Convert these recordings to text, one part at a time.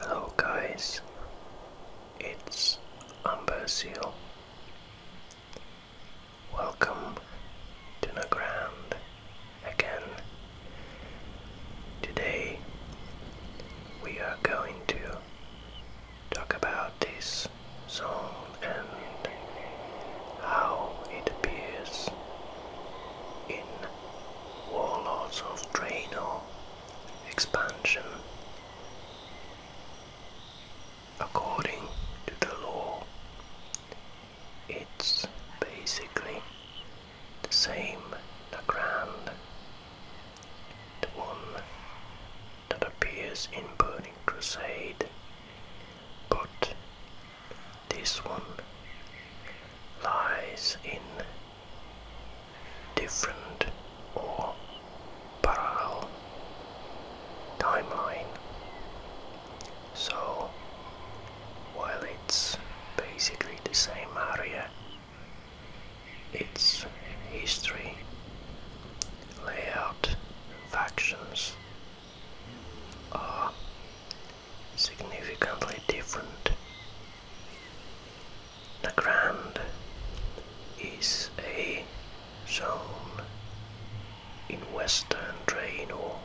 Hello oh, guys, it's Umber Seal. Welcome to the ground again. Today we are going to talk about this song and how it appears in Warlords of Draenor expansion. According to the law, it's basically the same Nagrand, Grand one that appears in Burning Crusade, but this one lies in different or parallel timeline. So while it's basically the same area, its history layout factions are significantly different. The Grand is a zone in western Draenor.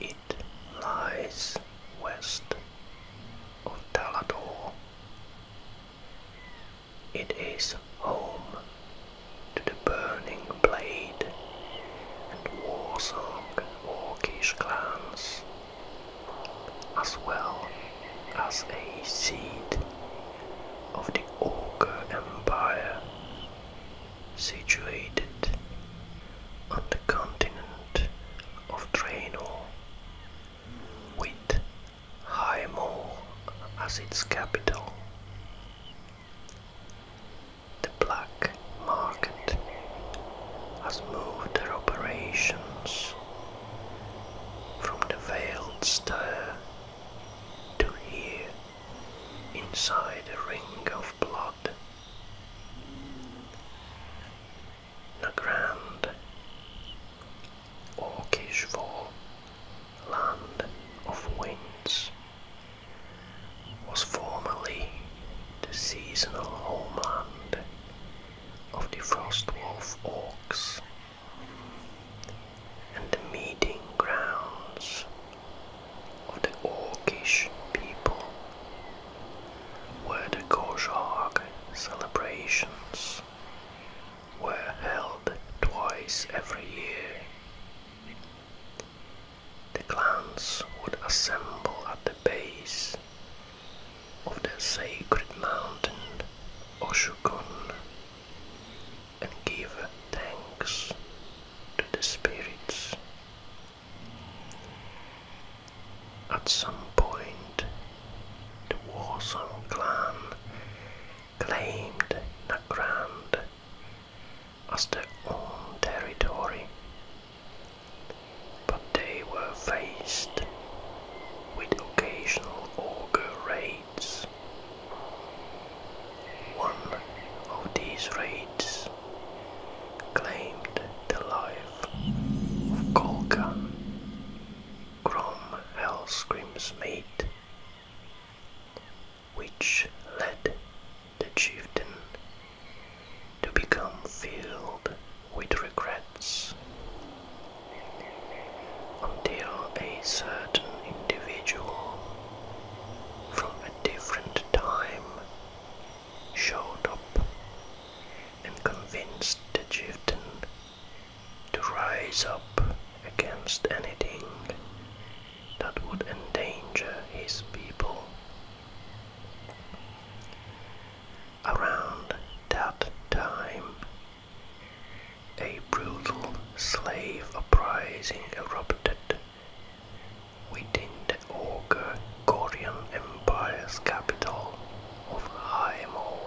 It lies west of Talador it is home to the Burning Blade and war Warsong Orcish clans, as well as a seat of the Orca Empire, situated on the continent of Draenor, with Haimo as its capital. The black market has moved their operations from the veiled stir to here inside a ring of blood. Legrand Orcish for Land of Winds was formerly the seasonal homeland of the Frostwolf Orcs and the meeting grounds of the Orkish people were the Goshawk celebrations were held twice every year. The clans would assemble at the base of the sacred mountain Oshukun and give thanks to the spirits. At some point, the Warsong clan claimed the ground as their own territory, but they were faced with occasional ogre raids. One of these raids claimed the life of Golgan, Grom Hellscream's mate which led the chieftain to become filled with regrets until a certain individual from a different time showed up and convinced the chieftain to rise up against anything that would endanger his people. Around that time, a brutal slave uprising erupted within the Ogre Gorian Empire's capital of Haimo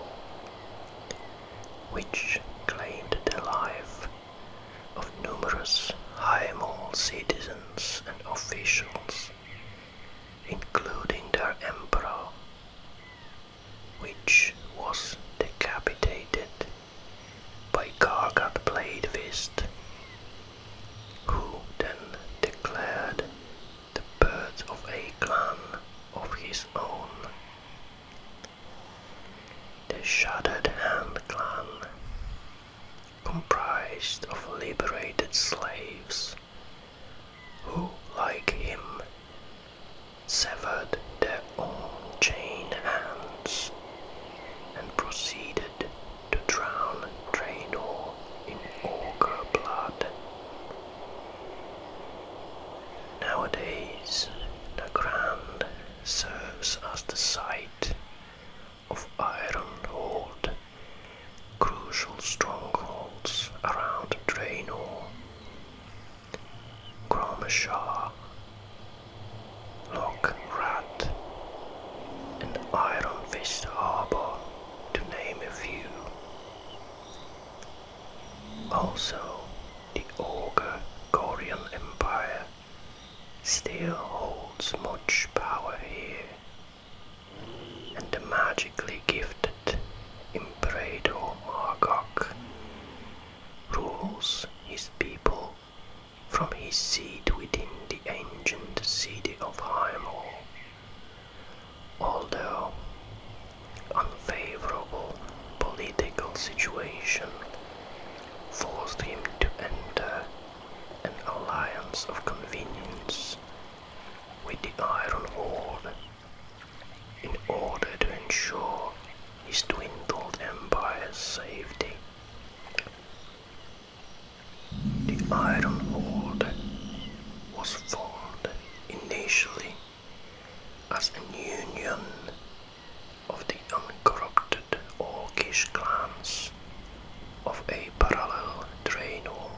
which claimed the life of numerous high citizens and officials, including their emperor, which was decapitated by Gargat Blade Fist, who then declared the birth of a clan of his own the Shattered Hand clan, comprised of liberated slaves, who, like him, severed their own chain hands and proceeded to drown Draenor in ogre blood Nowadays, the ground serves as the site of iron hold, crucial strongholds around Draenor, Gromashar, Loch Rat, and Iron Fist Harbor, to name a few. Also, the Ogre-Gorian Empire still holds much power here, and the magically gifted Imperator Margok rules his people from his seat within the ancient city of Hyrule. Although unfavorable political situation forced him to enter an alliance of convenience with the Iron Horde in order to ensure his dwindled empire's safety. The Iron Horde was formed initially as an union of the uncorrupted Orcish clans of a parallel trainor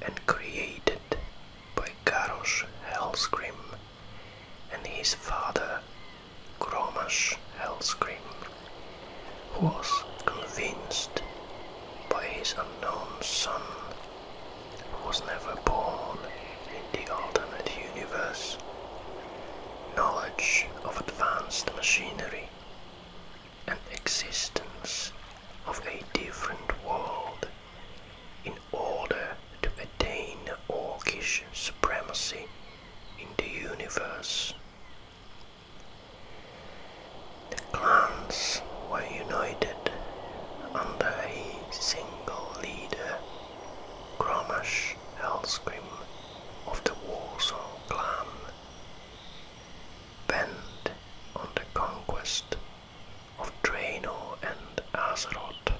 and created by Garrosh Hellscream and his father Gromash Hellscream, who was convinced by his unknown son was never born in the alternate universe. Knowledge of advanced machinery and existence of a different world in order to attain orcish supremacy in the universe. The clans were united under a single leader Gromash Hellscream of the Warsaw clan, bent on the conquest of Draenor and Azeroth.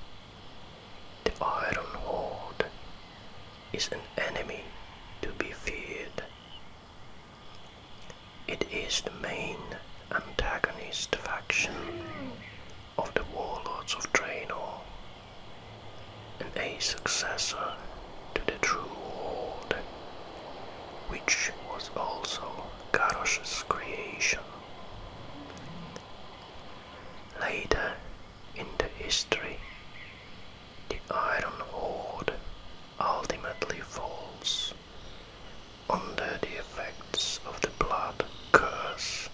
The Iron Horde is an enemy to be feared. It is the main antagonist faction of the warlords of Draenor, and a successor to the True Horde, which was also Garrosh's creation. Later in the history, the Iron Horde ultimately falls under the effects of the blood curse,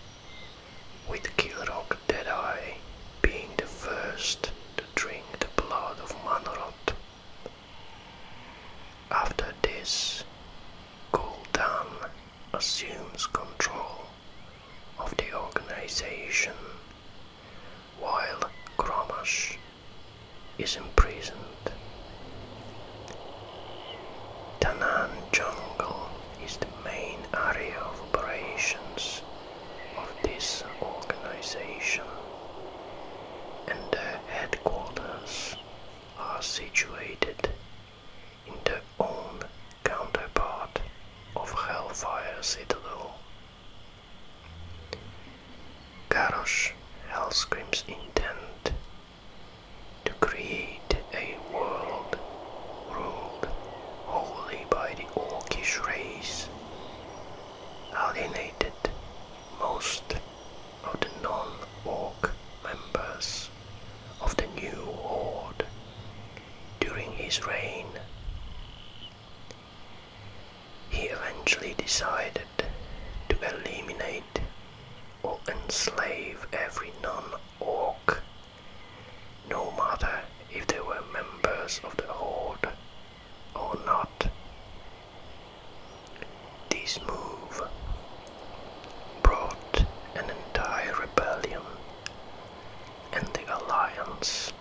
with Kilrog Deadeye being the first to drink the blood of Manoroth. After this, Gul'dan assumes control of the organization, while Gromash is imprisoned Danan Jungle is the main area of operations of this organization, and the headquarters are situated in the own counterpart of Hellfire Citadel. Garrosh Hellscream's intent to create a world ruled wholly by the Orcish race, alienated most of the non-Orc members of the new Horde during his reign. He eventually decided to eliminate or enslave every non orc, no matter if they were members of the Horde or not. This move brought an entire rebellion and the Alliance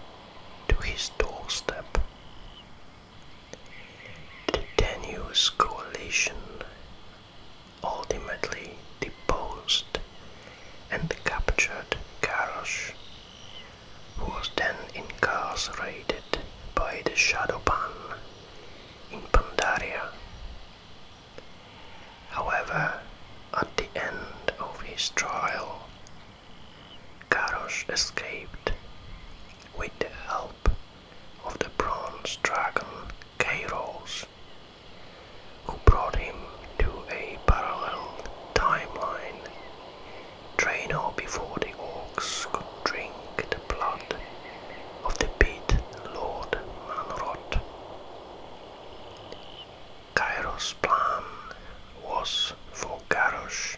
to his doorstep. The tenuous coalition ultimately deposed and captured Garrosh, who was then incarcerated by the Shadowban in Pandaria. However, at the end of his trial, Garrosh escaped with the help of the bronze dragon Kairos who brought him to a parallel timeline. Draenor before the orcs could drink the blood of the pit Lord Manrod. Kairos' plan was for Garrosh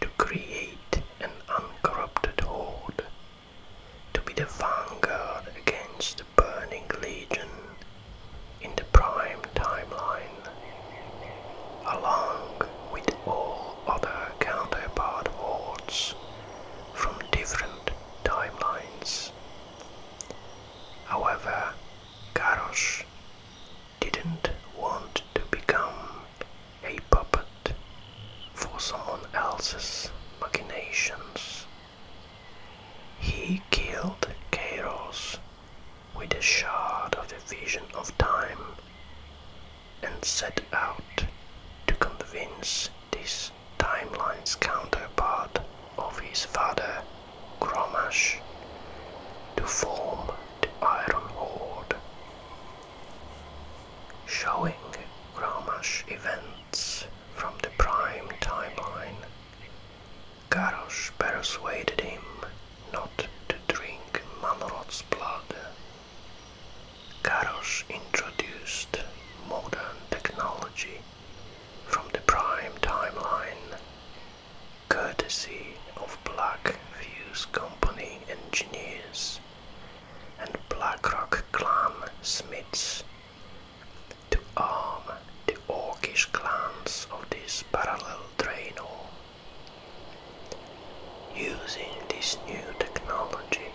to create an uncorrupted horde to be the vanguard against the Burning Legion in the prime timeline, along with all other counterpart hordes from different timelines. However, Garrosh didn't want to become a puppet for someone else's machinations. He killed Kairos with a shard of the vision of time and set out to convince this timeline's counterpart of his father, Gromash, to form the Iron Horde. Showing Gromash events from the prime timeline. Garrosh persuaded him not to drink Manoroth's blood. Garrosh introduced modern technology from the prime timeline, courtesy of Black Fuse Company engineers and Blackrock Clan Smiths to arm the orcish clans of this parallel Draenor. Using this new technology,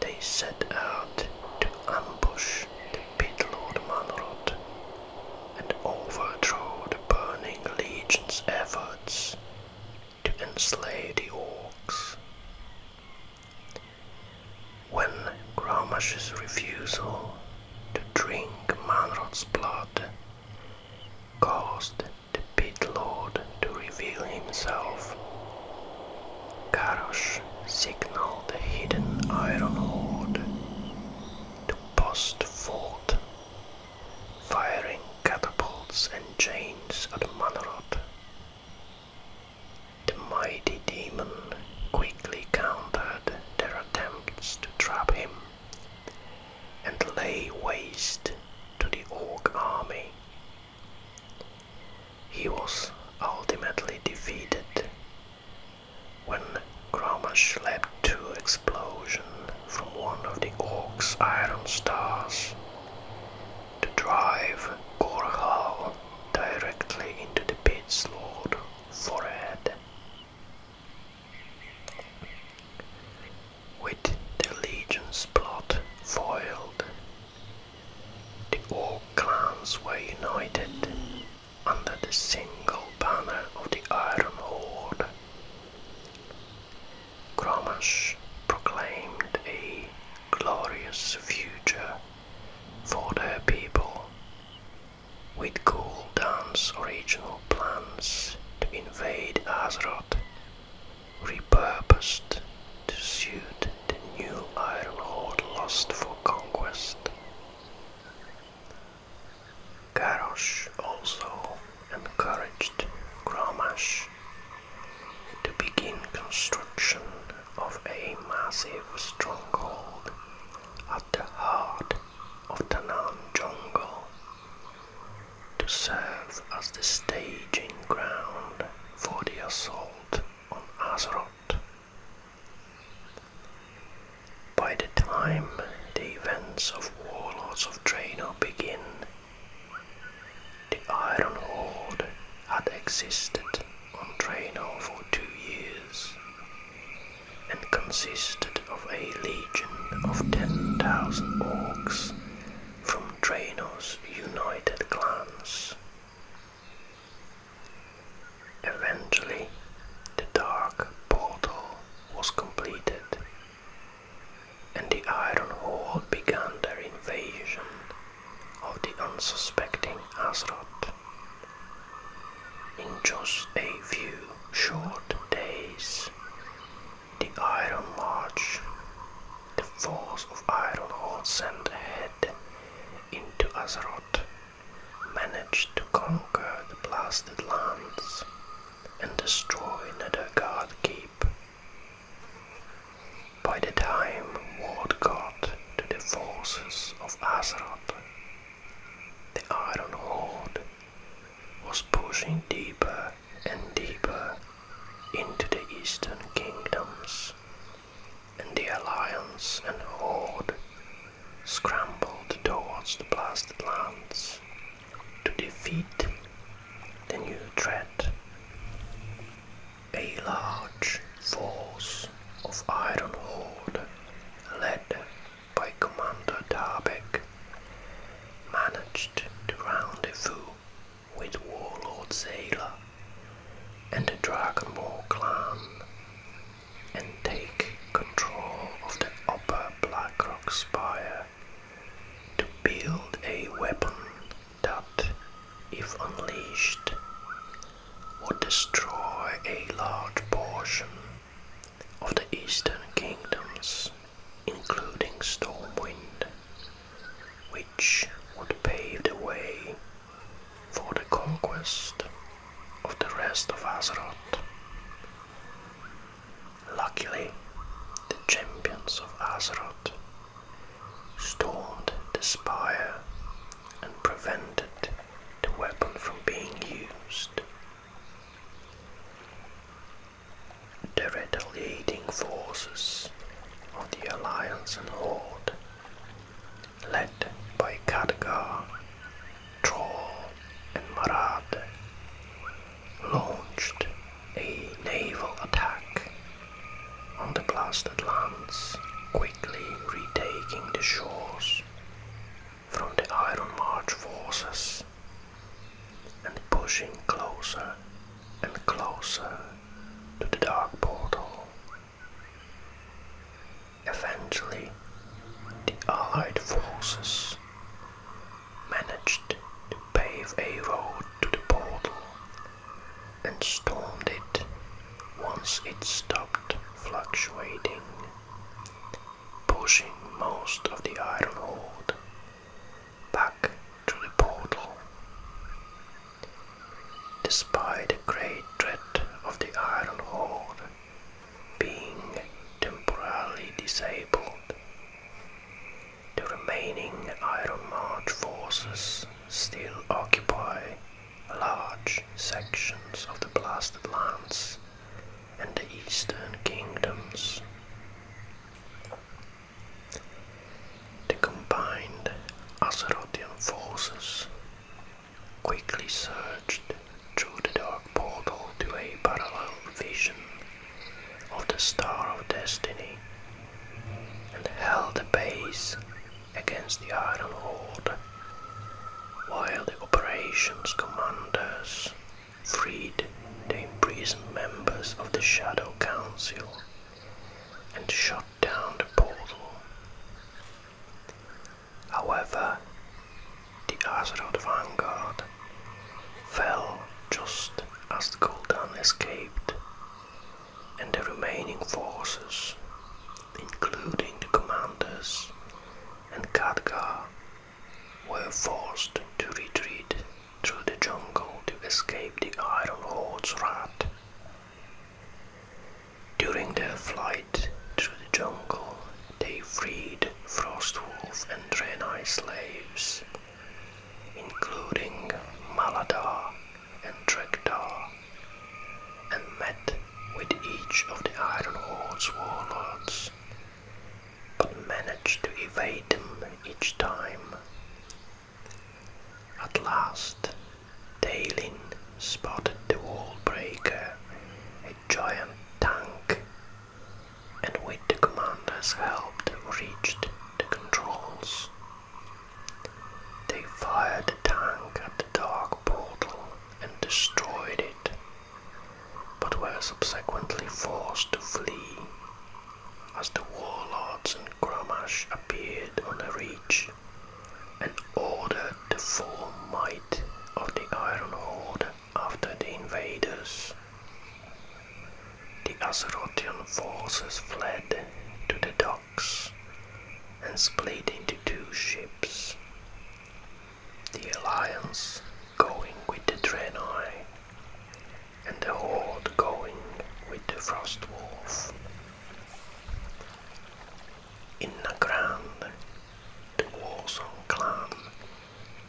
they set out to ambush the pit lord Manrod and overthrow the Burning Legion's efforts to enslave the orcs. When Gromash's refusal to drink Manrod's blood caused the Pit Lord to reveal himself, Garrosh signaled the hidden Iron Lord to post forth, firing catapults and chains at Manrod the mighty demon quickly countered their attempts to trap him and lay waste to the orc army. He was ultimately defeated when Gromash led to explosion from one of the orc's iron stars to drive Gorhal directly into the pit's lord forehead. With the Legion's plot foiled, the old clans were united under the single banner of the Iron Horde. Gromash proclaimed a glorious future for their people, with Gul'dan's original plans to invade Azeroth repurposed to suit the new Iron Horde lust for conquest. Garrosh also encouraged Gromash to begin construction of a massive stronghold at the heart of the Narn jungle to serve as the staging ground for the assault on Azeroth. By the time the events of Warlords of Draenor begin, the Iron Horde had existed on Draenor for two years and consisted of a legion of 10,000 orcs from Draenor's united clans. Eventually, the Dark Portal was completed and the Iron Horde began their invasion of the unsuspecting Azrot. In just a few short days, the Iron Lodge, the force of Iron Hall sent ahead into Azeroth, managed to conquer the blasted lands and destroy guard Keep by the time word got to the forces of Azeroth, the Iron Horde was pushing deeper and deeper into the Eastern Kingdoms, and the Alliance and Horde scrambled towards the blasted lands to defeat the new threat a large force of Iron Horde led by Commander Tarbeck managed to rendezvous with Warlord Sailor and the Dragonmore clan and take control of the upper Blackrock Spire to build a weapon that, if unleashed, would destroy a large portion of the eastern kingdoms, including Stormwind, which would pave the way for the conquest of the rest of Azeroth. Luckily, the champions of Azeroth Stormed the spire and prevented the weapon from being used. The retaliating forces of the Alliance and Horde, led by Khadgar, Troll and Marad, launched a naval attack on the blasted lands, quickly retaking the shores from the Iron March forces and pushing closer and closer to the Dark Portal. Eventually, the Allied forces managed to pave a road to the portal and stormed it once it stopped fluctuating, pushing most of the iron horde back to the portal. Despite the great threat of the iron horde being temporarily disabled, the remaining Iron March forces still occupy large sections of the blasted lands and the eastern kingdoms. The combined Azerothian forces quickly surged through the dark portal to a parallel vision of the Star of Destiny and held the base against the Iron Horde, while the operations commanders freed the imprisoned members of the Shadow Council and shut down the portal. However, the Azeroth vanguard fell just as the Gul'dan escaped and the remaining forces, including the commanders and Khadgar, were forced to retreat through the jungle to escape the Iron Horde's wrath. During their flight through the jungle, they freed Frostwolf and Draenei slaves, including Maladar and Trektar, and met with each of the Iron Horde's warlords, but managed to evade them each time. At last, Talin spotted the wall breaker, a giant tank, and with the commander's help reached the controls. They fired a tank at the dark portal and destroyed it, but were subsequently forced to flee as the warlords and Gramash appeared on the ridge and ordered the full might of the Iron Horde after the invaders. The Azerothian forces fled to the and split into two ships. The Alliance going with the Draenei and the Horde going with the Frostwolf. In Nagrand, the Warzone clan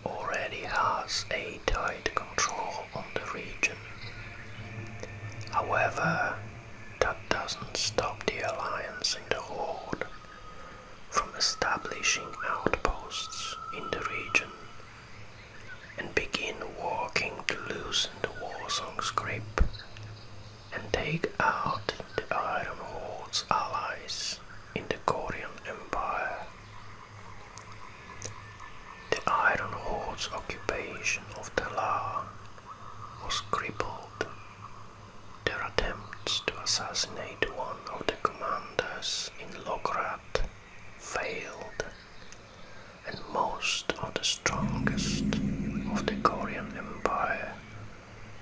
already has a tight control on the region. However, that doesn't stop the Alliance and the Horde from establishing outposts in the region and begin working to loosen the war song's grip and take out the Iron Horde's allies in the Korean Empire. The Iron Horde's occupation of the land was crippled. Their attempts to assassinate one of the commanders in Lograd failed, and most of the strongest of the Korean Empire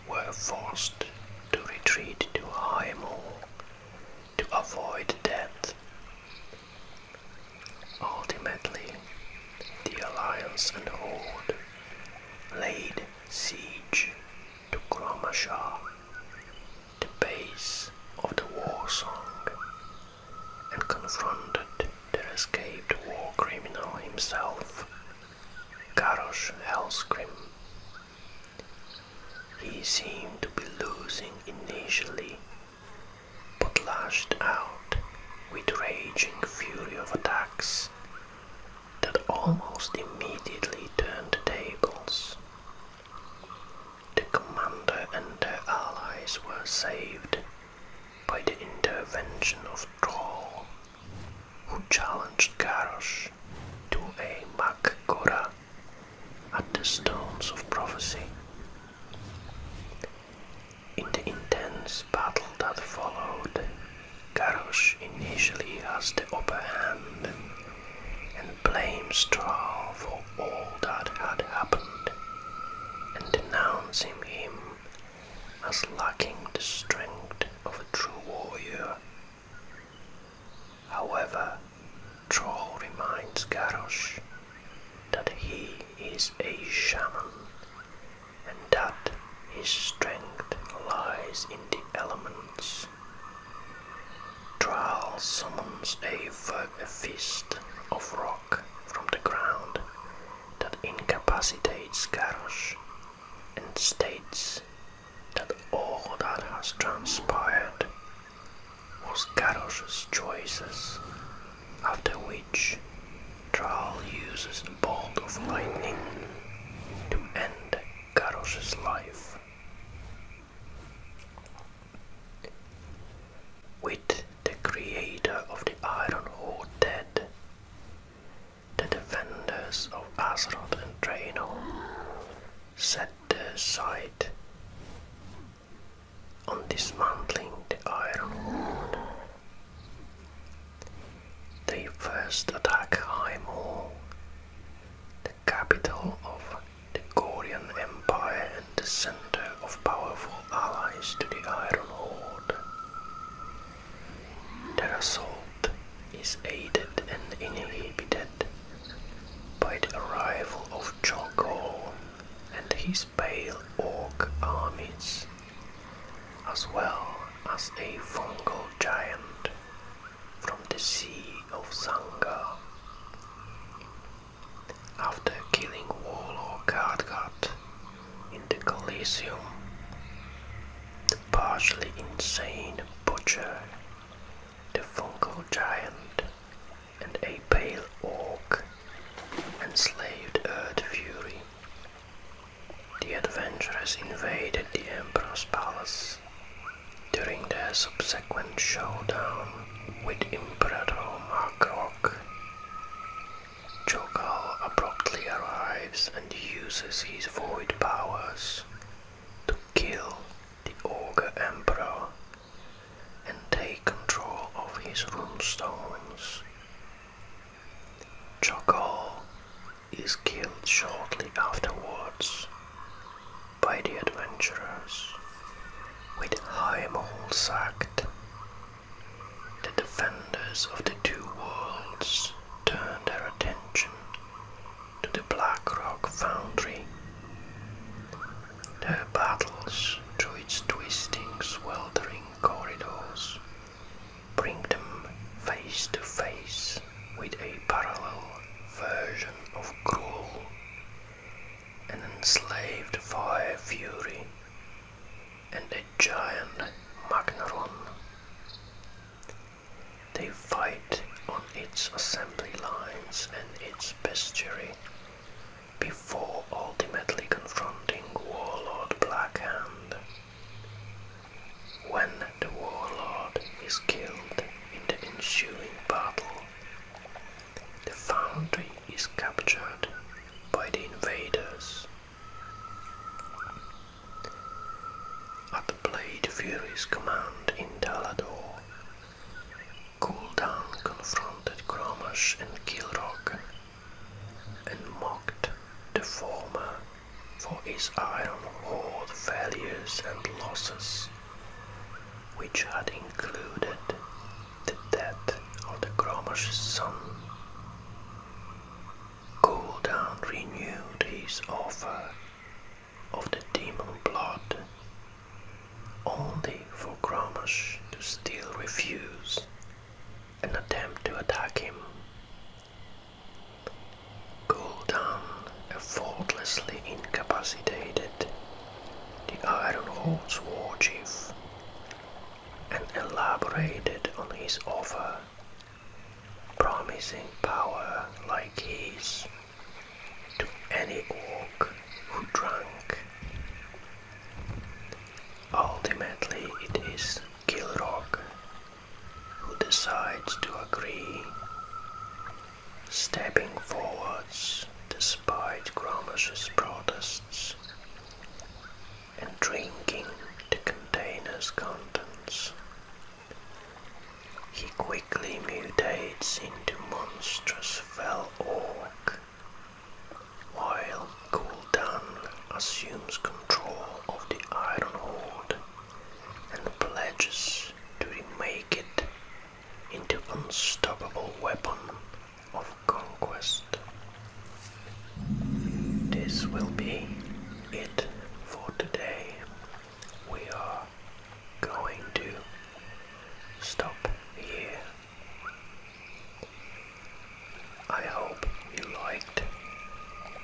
were forced to retreat to Haimul to avoid death. Ultimately, the Alliance and Horde laid siege to Kromashah, the base of the war song, and confronted their escaped war criminal himself, Garrosh Hellscream. He seemed to be losing initially but lashed out with raging fury of attacks that almost immediately turned the tables. The commander and their allies were saved by the intervention of Troll, who challenged Garrosh to a Makgora at the Stones of Prophecy. In the intense battle that followed, Garrosh initially has the upper hand and blames Thrall for all that had happened and denouncing him as lacking the strength of a true warrior. However, Troll reminds Garrosh that he is a shaman and that his strength lies in the elements. Tral summons a, a fist of rock from the ground that incapacitates Garrosh and states that all that has transpired was Garrosh's choices after which Thrall uses the bolt of lightning to end Garrosh's life. With the creator of the Iron Horde dead, the defenders of Azeroth and Draenor set their sight on dismantling the Iron Horde. They first attack Haimul, the capital of the Gorian Empire and the center of powerful allies to the Iron Horde. Their assault is aided and inhibited by the arrival of Choco and his pale orc armies, as well as a fungal giant from the Sea of Zanga. After killing Warlord Khadgat in the Coliseum, the partially insane butcher, the fungal giant, and a pale orc enslaved Earth Fury the adventurers invaded the Emperor's palace. During their subsequent showdown with Emperor Margrok, Jokal abruptly arrives and uses his void powers to kill the Ogre Emperor and take control of his rune stones. Chokol is killed shortly afterwards by the adventurers with Hyrimold sacked. The defenders of the two worlds turned their attention to the Black Rock Foundry. Their battles through its twisting, sweltering corridors bring them face to face with a parallel version of Gruul, an enslaved fire fury, and a giant Magnaron. They fight on its assembly lines and its bestiary, before ultimately confronting Warlord Blackhand. When the Warlord is killed in the ensuing battle, the Foundry is captured by the invaders. At the Blade Fury's command in Talador, Cool Gul'dan confronted Gromash and Kilrock and mocked the former for his eye on all the failures and losses, which had included the death of the Gromer's son. Cooldown renewed his offer of the demon blood, only for Gromash to still refuse an attempt to attack him. Gul'dan, effortlessly incapacitated the Iron Horde's war chief and elaborated on his offer, promising power like his to any orc who drank. Ultimately, it is Kilrock who decides to agree, stepping forwards despite Gromash's protests and drinking the container's contents. He quickly mutates into monstrous fell orc while Gul'dan assumes control of the Iron Horde and pledges to remake it into unstoppable weapon of conquest. This will be it for today. We are going to stop here. I hope you liked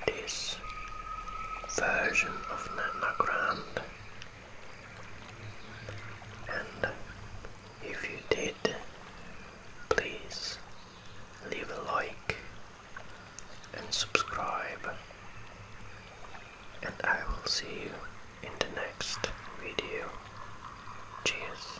this version of Nana Grand, And if you did, please leave a like and subscribe. And I will see you in the next video. Cheers.